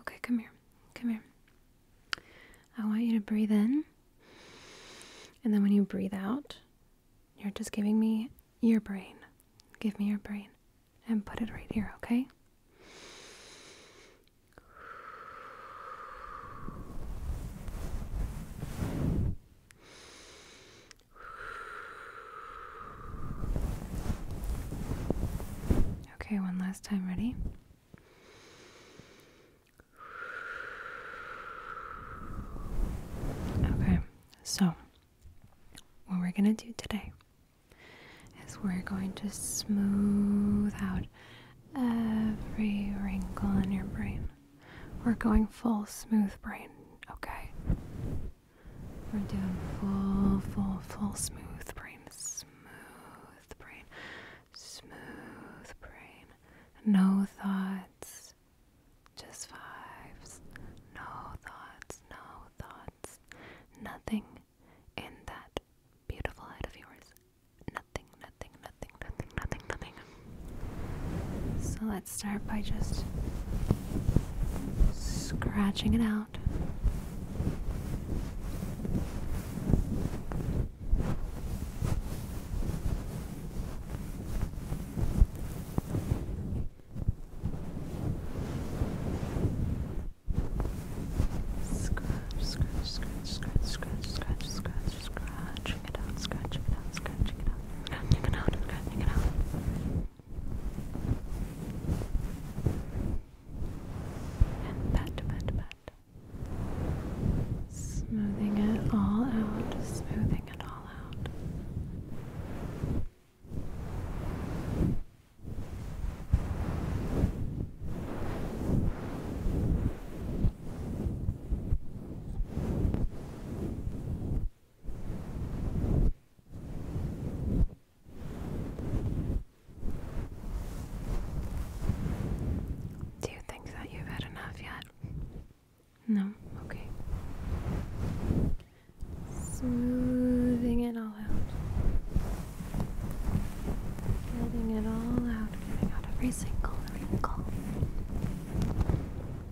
Okay, come here. Come here. I want you to breathe in. And then when you breathe out, you're just giving me your brain. Give me your brain and put it right here, okay? Okay, one last time. Ready? Okay, so what we're going to do today is we're going to smooth out every wrinkle in your brain. We're going full smooth brain, okay? We're doing full, full, full smooth brains smooth brain, smooth brain. No thoughts, just vibes. No thoughts, no thoughts. Nothing in that beautiful head of yours. Nothing, nothing, nothing, nothing, nothing, nothing. So let's start by just scratching it out out. Scratch, scratch, scratch, scratch, scratch, scratch, scratch, scratching it out, scratching it out, scratching it out, scratching it out, scratching it out and pat, pat, pat. Smoothing it all out, smoothing it all out. Do you think that you've had enough yet? No? Okay. Smoothing it all out. Getting it all out. Getting out every single wrinkle.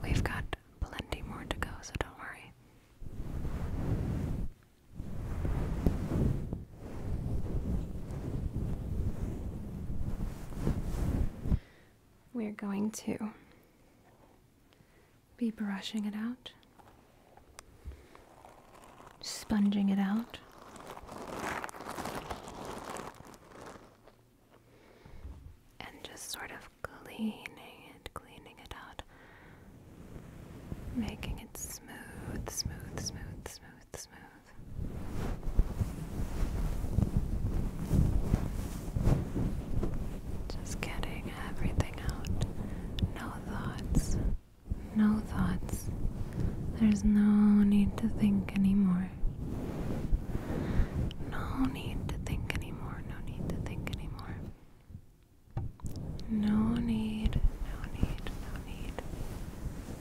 We've got plenty more to go, so don't worry. We're going to be brushing it out, sponging it out. And just sort of cleaning it, cleaning it out making it smooth, smooth, smooth, smooth, smooth. Just getting everything out. No thoughts. No thoughts. There's no need to think anymore. No need to think anymore. No need to think anymore. No need, no need, no need.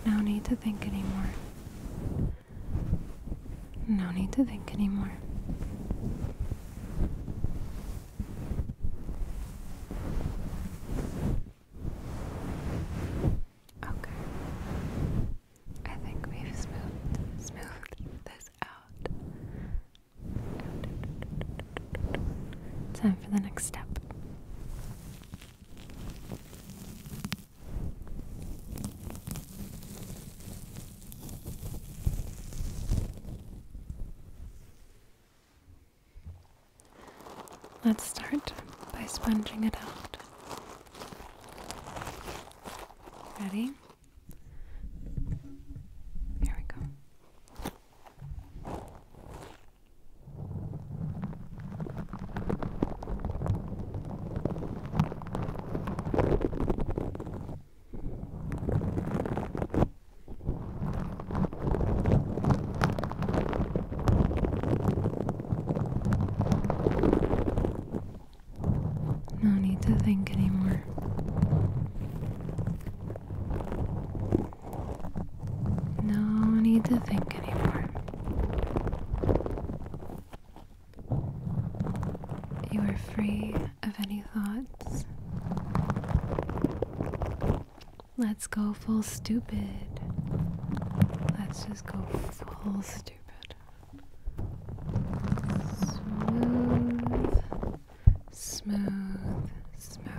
No need to think anymore. No need to think anymore. Okay. I think we've smoothed smoothed this out. Time for the next step. Let's start by sponging it out. Ready? Here we go. No need to think anymore. No need to think anymore. You are free of any thoughts. Let's go full stupid. Let's just go full stupid. Smooth smooth, smooth.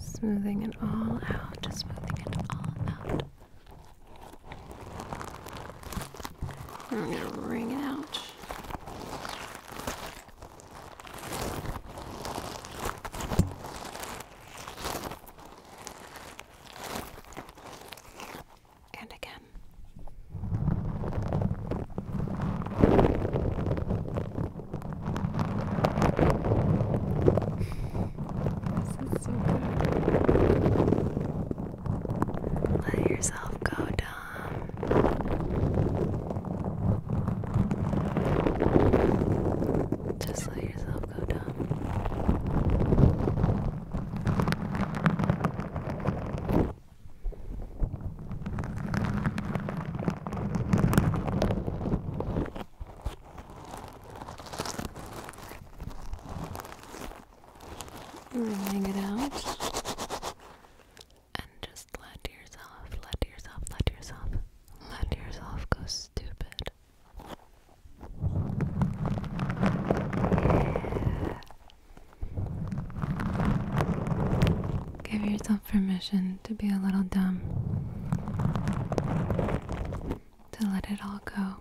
Smoothing it all out, smoothing it all out. I'm gonna wring it out. And again. This is so good. Let yourself go, Dom. Just let yourself go, Dom. Wringing it out. And just let yourself, let yourself, let yourself, let yourself go stupid. Give yourself permission to be a little dumb to let it all go.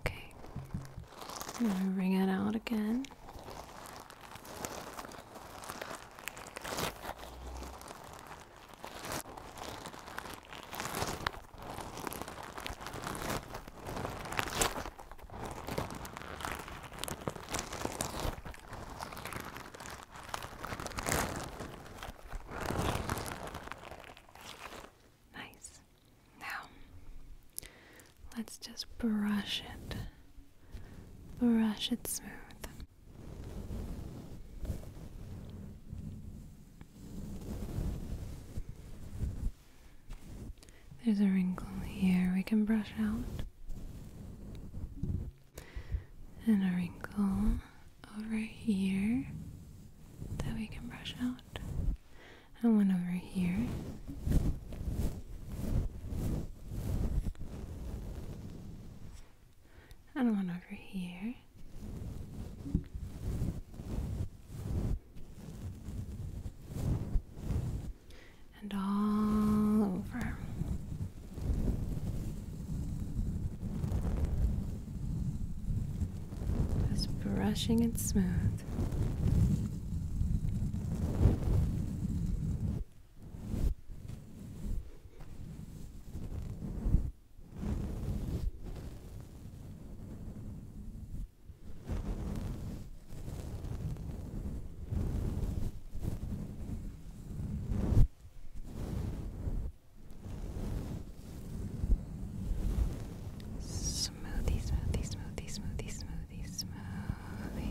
Okay, i it out again. Nice. Now, let's just brush it, brush it smooth. There's a wrinkle here we can brush out, and a wrinkle over here that we can brush out, and one over here and one over here. And all over. Just brushing it smooth. Smoothie, smoothie, smoothie, smoothie, smoothie, smoothie.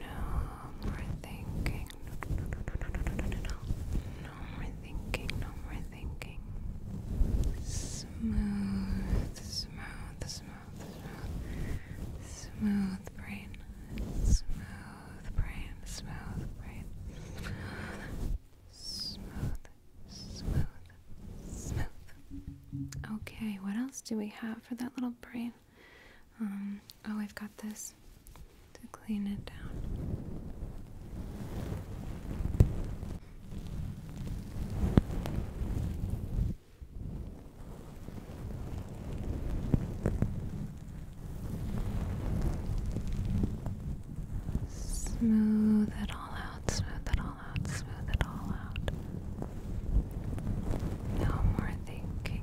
No more thinking. No, no, no, no, no, no, no, no. more thinking. No more thinking. Smooth, smooth, smooth, smooth, smooth brain, smooth brain, smooth brain, smooth, smooth, smooth. Okay, what else do we have for that little brain? Um, oh, I've got this to clean it down. Smooth it all out, smooth it all out, smooth it all out. No more thinking,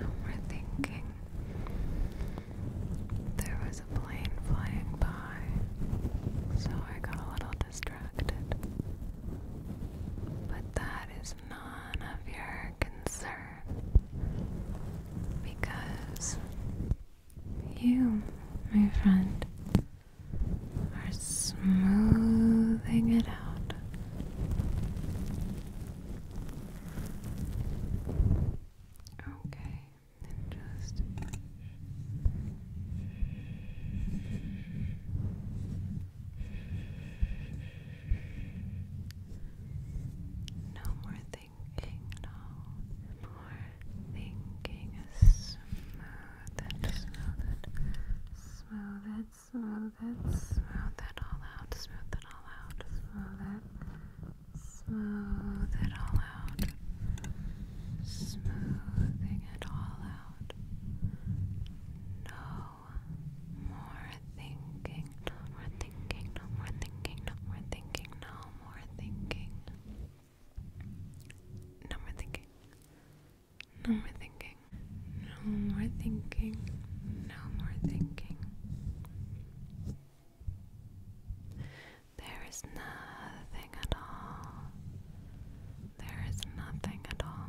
No more thinking. There was a plane flying by, so I got a little distracted. But that is none of your concern because you, my friend, are smoothing it out. Okay, just no more thinking More thinking is smooth and smooth it. Smooth it, it, all out, smooth it all out, smooth it all out, smoothing it all out. No more thinking, no more thinking, no more thinking, no more thinking, no no more thinking. No more thinking. No more thinking. No more thinking. No more thinking. There is nothing at all. There is nothing at all.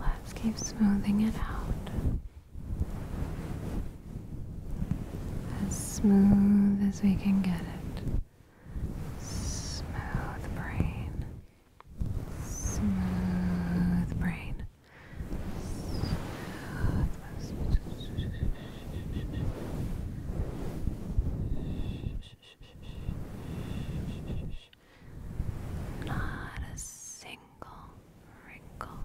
Let's keep smoothing it out as smooth as we can get it. Smooth brain, smooth brain, smooth. Not a single wrinkle.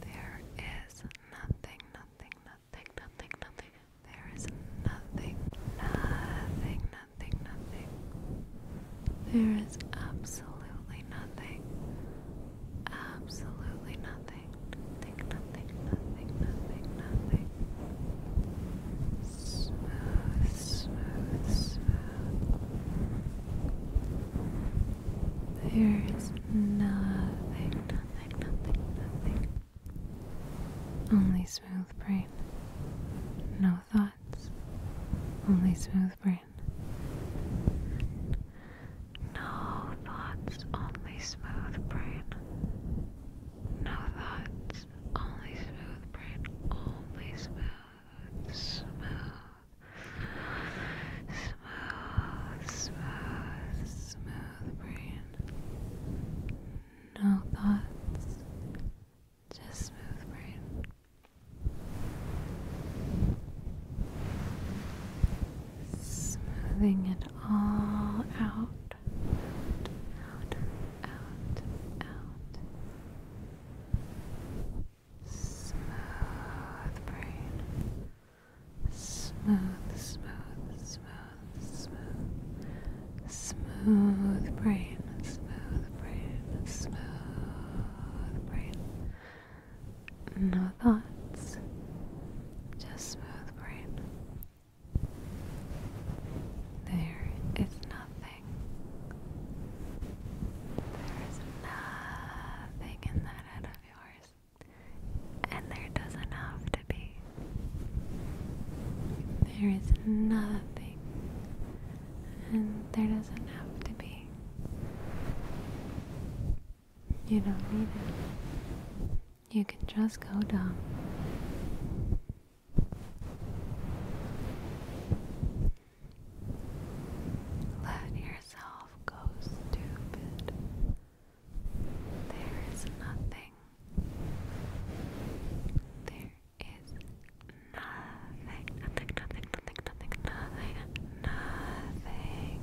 There is nothing, nothing, nothing, nothing, nothing. There is nothing, nothing, nothing, nothing. There is absolutely nothing. Absolutely nothing nothing, nothing, nothing, nothing, nothing. Smooth, smooth, smooth. There is nothing, nothing, nothing, nothing. Only smooth brain. No thoughts. Only smooth brain. No thoughts, only smooth brain. No thoughts, only smooth brain. Only smooth, smooth, smooth, smooth, smooth brain. No thoughts, just smooth brain smoothing it all out. Out, out, out. Smooth brain. Smooth, smooth, smooth, smooth. Smooth brain, smooth brain, smooth brain. No thoughts, just smooth brain. There is nothing. There is nothing in that head of yours. And there doesn't have to be. There is nothing. And there doesn't have to be. You don't need it you can just go down. Let yourself go stupid. There is nothing. There is nothing, nothing, nothing, nothing, nothing, nothing, nothing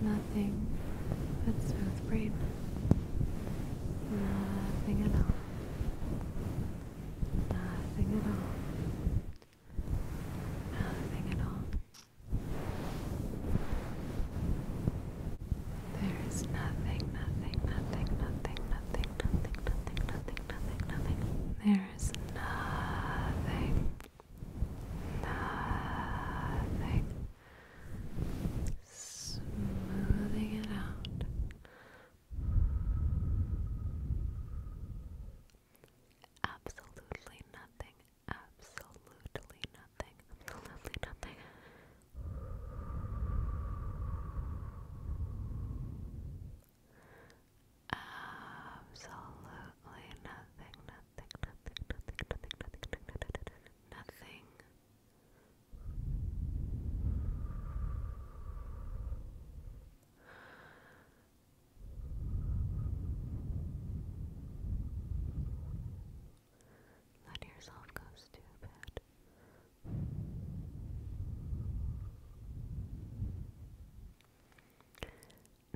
nothing. but smooth brain. Nothing at all. Nothing at all. Nothing at all. There is nothing, nothing, nothing, nothing, nothing, nothing, nothing, nothing, nothing. There is nothing. Nothing. Smoothing it out. Absolutely nothing. Absolutely nothing. Absolutely nothing. Absolutely nothing, nothing, Let yourself go stupid.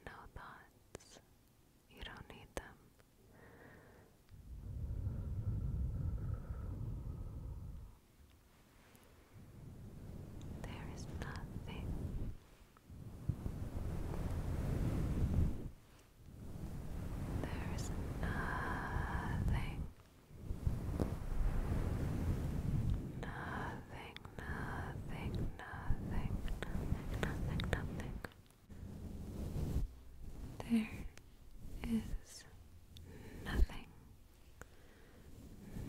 No thoughts, you don't need them. There is nothing there is nothing nothing nothing, nothing, nothing, nothing, There is nothing.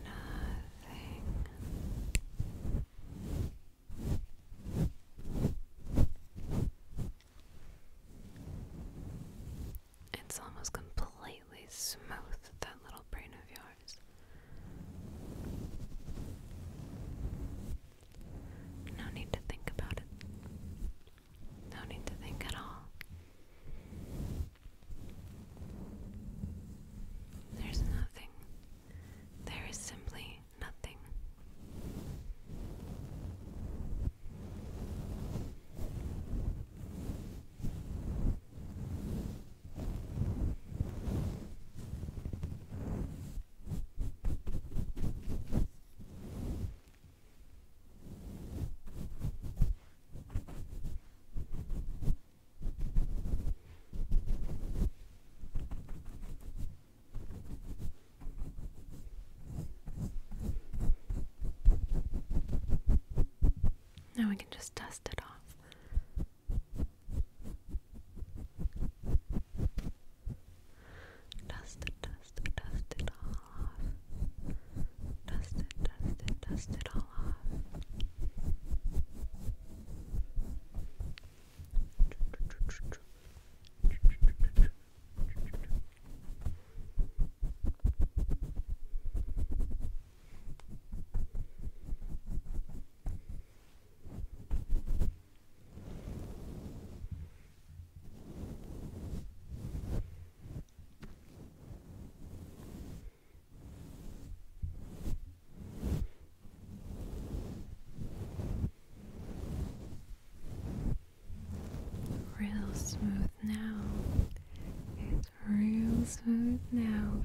Nothing. It's almost completely smooth, that little brain of yours. No need to think about it. No need to think at all. There's nothing. There is simply nothing. Now we can just dust it off. Dust it, dust it, dust it all off. Dust it, dust it, dust it all off. Dust it, dust it, dust it all off. Real smooth now. It's real smooth now,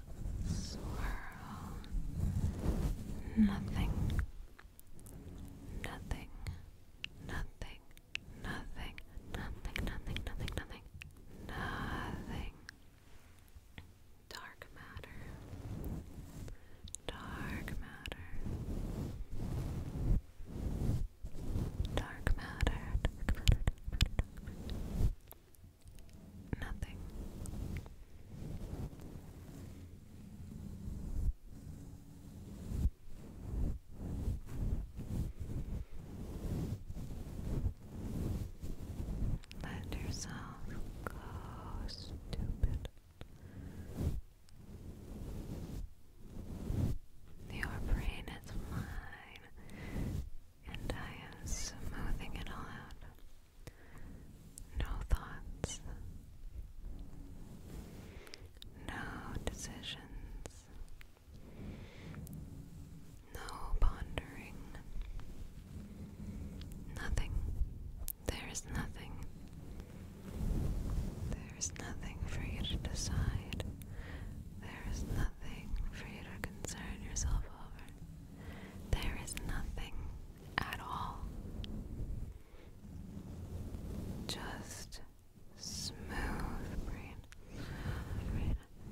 swirl, nothing, nothing, nothing, nothing, nothing, nothing, nothing, nothing, nothing. Dark matter, dark matter, dark matter, dark matter. Nothing. Let yourself go, stupid. Your brain is mine and I am smoothing it all out. No thoughts, no decisions, no pondering, nothing. There is nothing. There is nothing for you to decide. There is nothing for you to concern yourself over. There is nothing at all. Just smooth brain.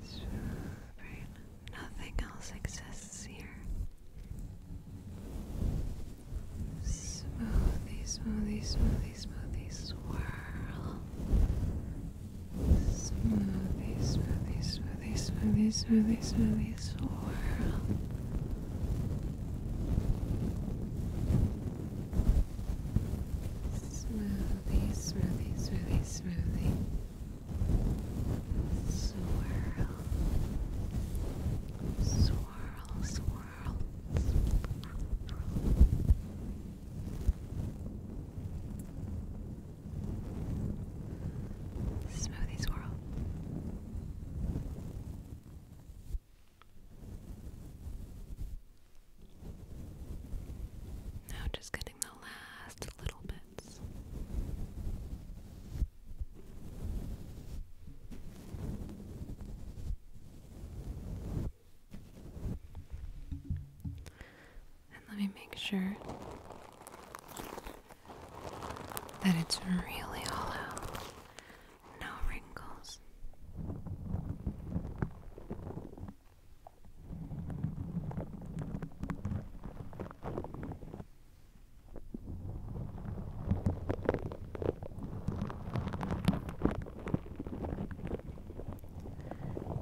Smooth brain. Nothing else exists here. Smoothie, smoothie, smoothie, smoothie, swirl. Smoothie, smoothie, smoothie smoothie, smoothie release, Smoothie, world. Smoothly, smoothly, smoothly, smoothly. Swirl. Swirl, swirl. Smoothie swirl. Now just getting the last little bits. And let me make sure that it's really all out. No wrinkles.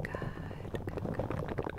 Good, good, good,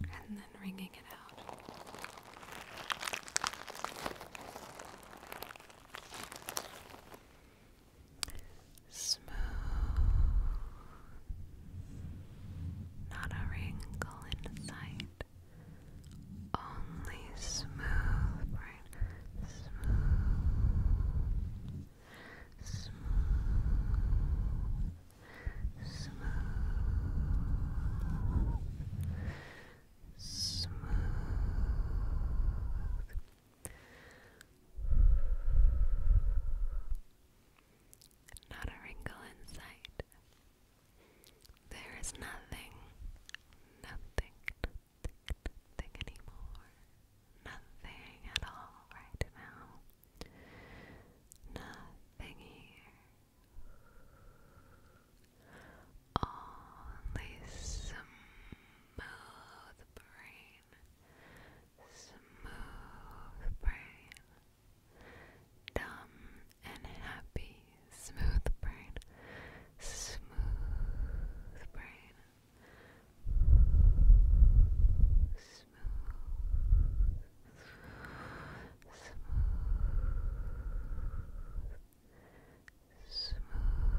and then wringing it out. Smooth, not a wrinkle in sight. Only smooth, right? Smooth, smooth, smooth, smooth. Not a wrinkle in sight. There is nothing, nothing, nothing, nothing anymore. Nothing at all right now. Nothing here. Only smooth brain. Smooth brain. Dumb and happy, smooth brain, smooth brain, smooth, smooth, smooth, brain. Smooth, smooth, smooth,